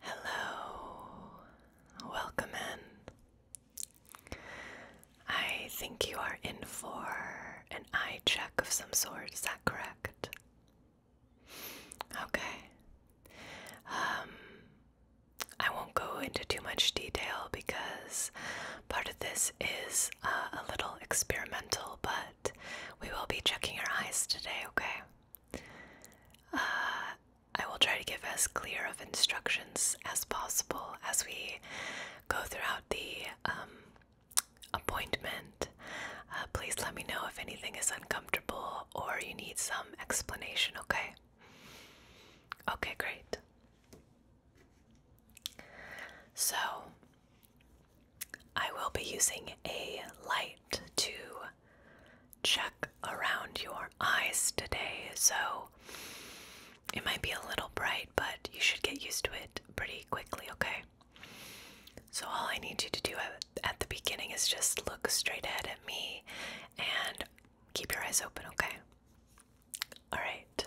Hello, welcome in. I think you are in for an eye check of some sort, is that correct? Okay. Um, I won't go into too much detail because part of this is uh, a little experimental, but we will be checking your eyes today, okay? Uh, I will try to give as clear of instructions as possible as we go throughout the um, appointment. Uh, please let me know if anything is uncomfortable or you need some explanation, okay? Okay, great. So, I will be using a light to check around your eyes today, so it might be a little bright, but you should get used to it pretty quickly, okay? So, all I need you to do at the beginning is just look straight ahead at me and keep your eyes open, okay? All right.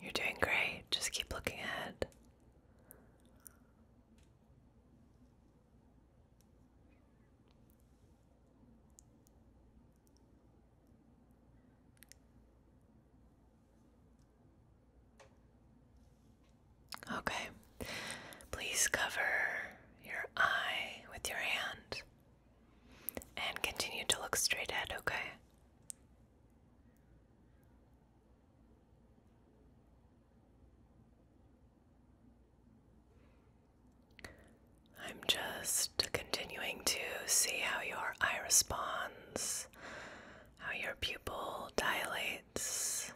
You're doing great. Just keep looking ahead. Okay, please cover your eye with your hand. And continue to look straight ahead, okay? I'm just continuing to see how your eye responds, how your pupil dilates,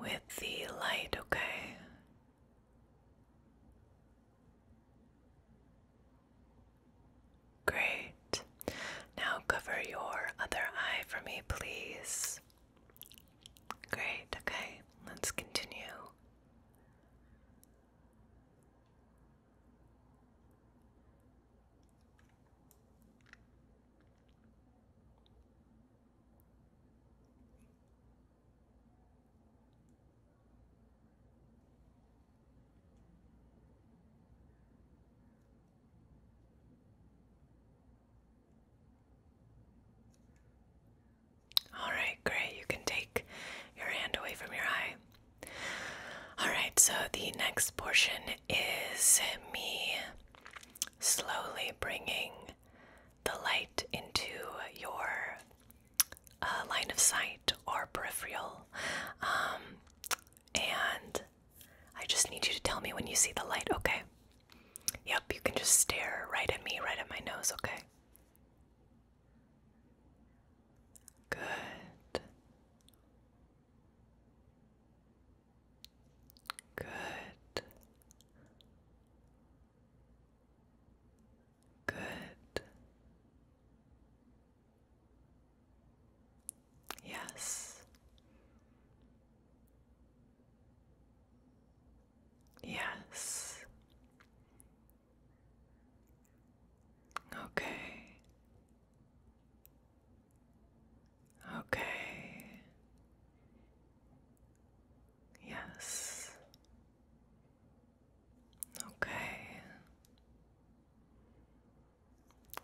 with the light, okay? Great. Now cover your other eye for me, please. Great, okay. Let's continue. All right, great. You can take your hand away from your eye. All right, so the next portion is me slowly bringing the light into your uh, line of sight or peripheral. Um, and I just need you to tell me when you see the light, okay? Yep, you can just stare right at me, right at my nose, okay? Good. Good. Good. Yes. Yes. Okay. Okay. Yes. Okay.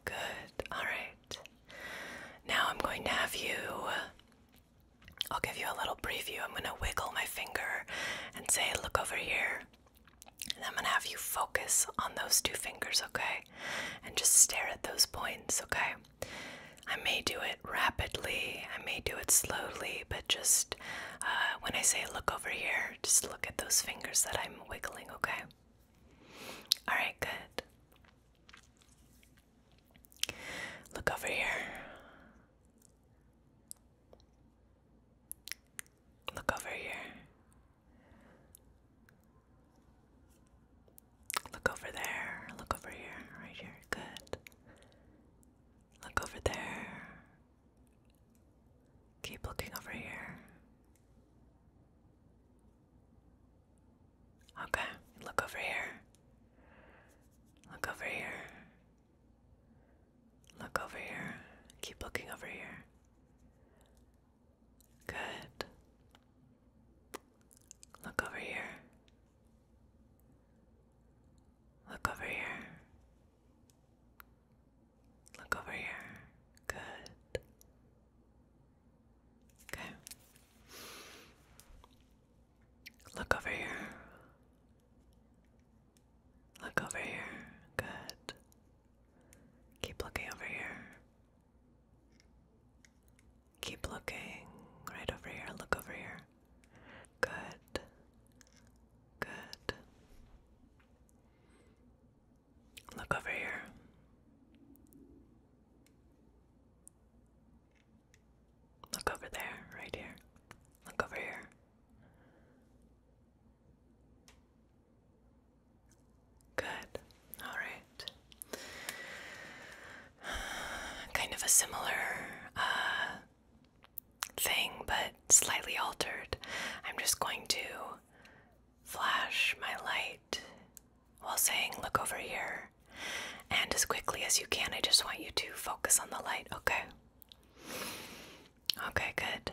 Good. All right. Now I'm going to have you. I'll give you a little preview. I'm going to wiggle my finger and say, look over here. And I'm going to have you focus on those two fingers, okay? And just stare at those points, okay? I may do it rapidly, I may do it slowly, but just uh, when I say look over here, just look at those fingers that I'm wiggling, okay? Alright, good. Look over here. Look over here. Look over there. Look over here. Right here. Good. Look over there. Keep looking over here. Okay. Look over here. Look over here. Look over here. Keep looking over here. Good. Look over here. Look over here. Look over here. Good. Okay. Look over here. Look over here. Good. Keep looking over here. Keep looking right over here. Look over here. Good. Good. Look over here. Look over there, right here. Look over here. Good. All right. Kind of a similar uh, thing, but slightly altered. I'm just going to flash my light while saying, Look over here. And as quickly as you can, I just want you to focus on the light, okay? Okay, good.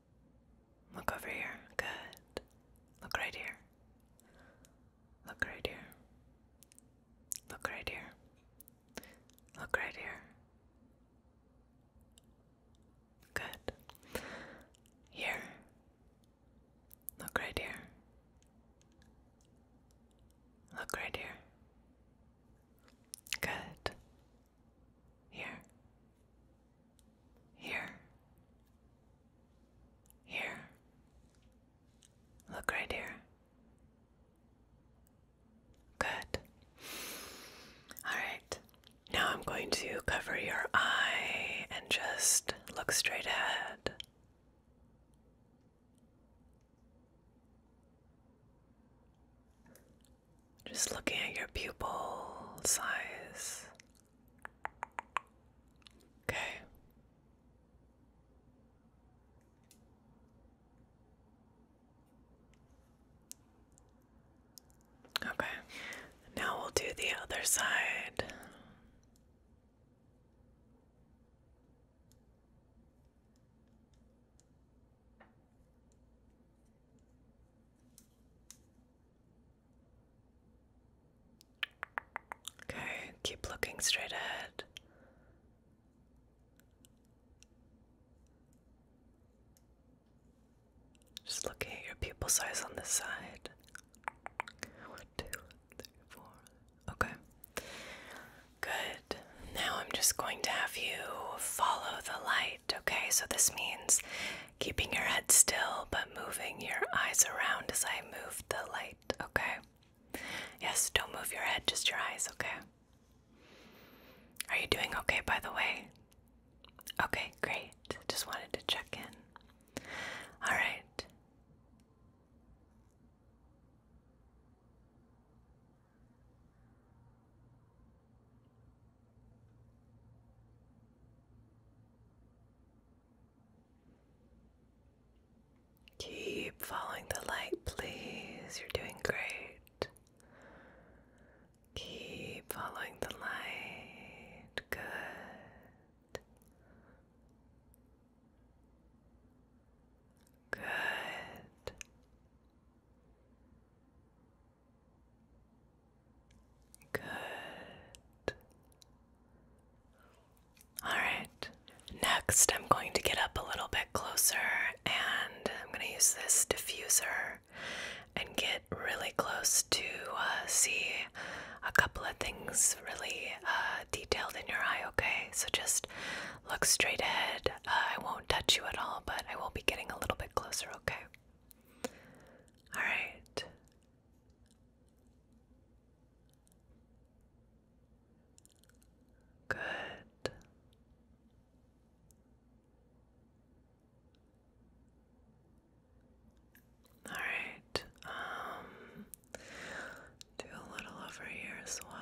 Look over here. Good. Look right here. Look right here. Look right here. Look right here. Good. Here. Look right here. Look right here. Good. Here. Here. Here. Look right here. Good. Alright. Now I'm going to cover your eye and just look straight ahead. Just looking at your pupil size. Okay. Okay. Now we'll do the other side. Okay, keep looking straight ahead. Just looking at your pupil size on this side. One, two, three, four. Okay. Good. Now I'm just going to have you follow the light, okay? So this means keeping your head still but moving your eyes around as I move the light, okay? Yes, don't move your head, just your eyes, okay? Are you doing okay, by the way? Okay, great. Just wanted to check in. All right. Keep following the light, please. You're doing great. Keep following the light. Good. Good. Good. All right. Next, I'm going to get up a little bit closer and I'm going to use this diffuser and get really close to uh, see a couple of things really uh, detailed in your eye, okay? So just look straight ahead uh, I won't touch you at all, but I will be getting a little bit closer, okay? Alright. Good. All right. Um do a little over here as well.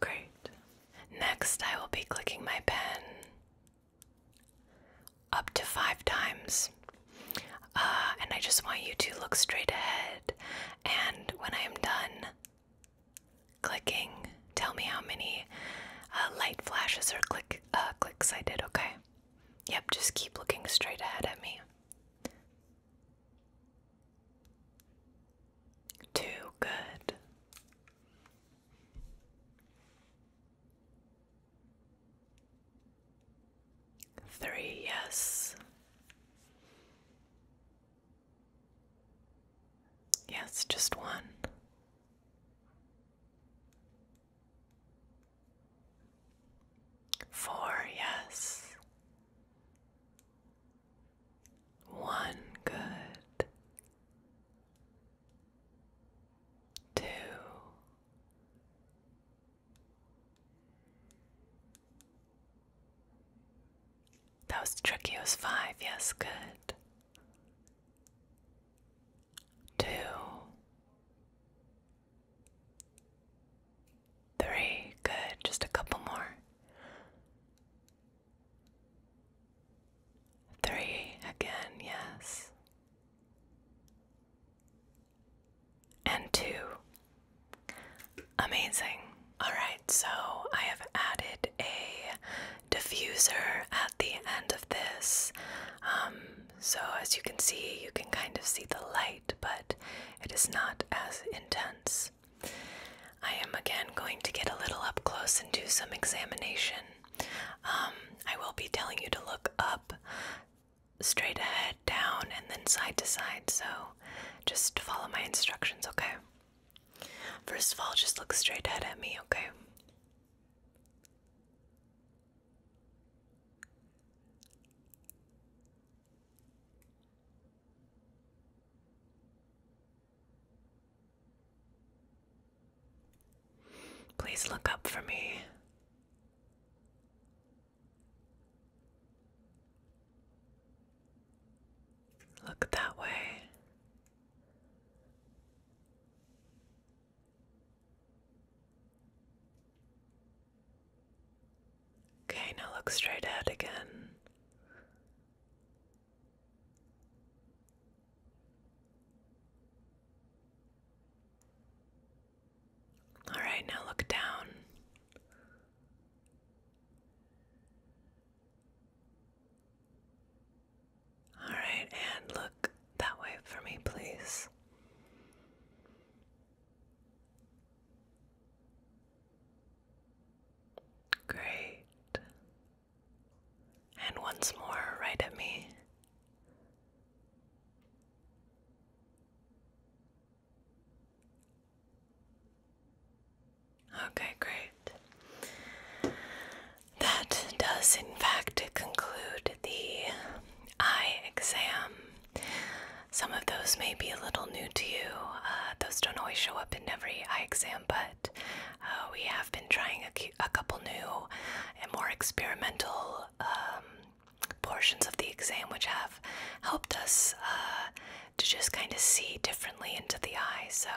Great. Next, I will be clicking my pen up to five times. Uh, and I just want you to look straight ahead. And when I am done clicking, tell me how many uh, light flashes or click uh, clicks I did, okay? Yep, just keep looking straight ahead at me. Too good. Three, yes. Yes, just one. Four, yes. One good, two, that was tricky, it was five, yes, good. Two, Three. Good. Just a couple more. Three again, yes. And two. Amazing. Alright, so I have added a diffuser at the end of this. Um, so, as you can see, you can kind of see the light but it is not as intense. I am again going to get a little up close and do some examination. Um, I will be telling you to look up, straight ahead, down, and then side to side, so just follow my instructions, okay? First of all, just look straight ahead at me, okay? Please look up for me. Look that way. Okay, now look straight ahead again. All right, now look down. All right, and look that way for me, please. Great. And once more, right at me. Okay, great. That does, in fact, conclude the eye exam. Some of those may be a little new to you. Uh, those don't always show up in every eye exam, but uh, we have been trying a, couple new and more experimental um, portions of the exam, which have helped us uh, to just kind of see differently into the eye. So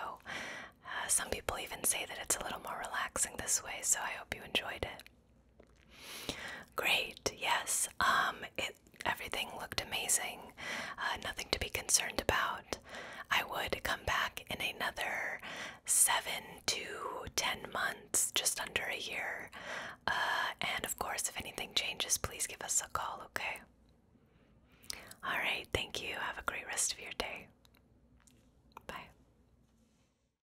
some people even say that it's a little more relaxing this way. So I hope you enjoyed it. Great. Yes. Um. It. Everything looked amazing. Uh, nothing to be concerned about. I would come back in another seven to ten months, just under a year. Uh, and of course, if anything changes, please give us a call. Okay. All right. Thank you. Have a great rest of your day. Bye.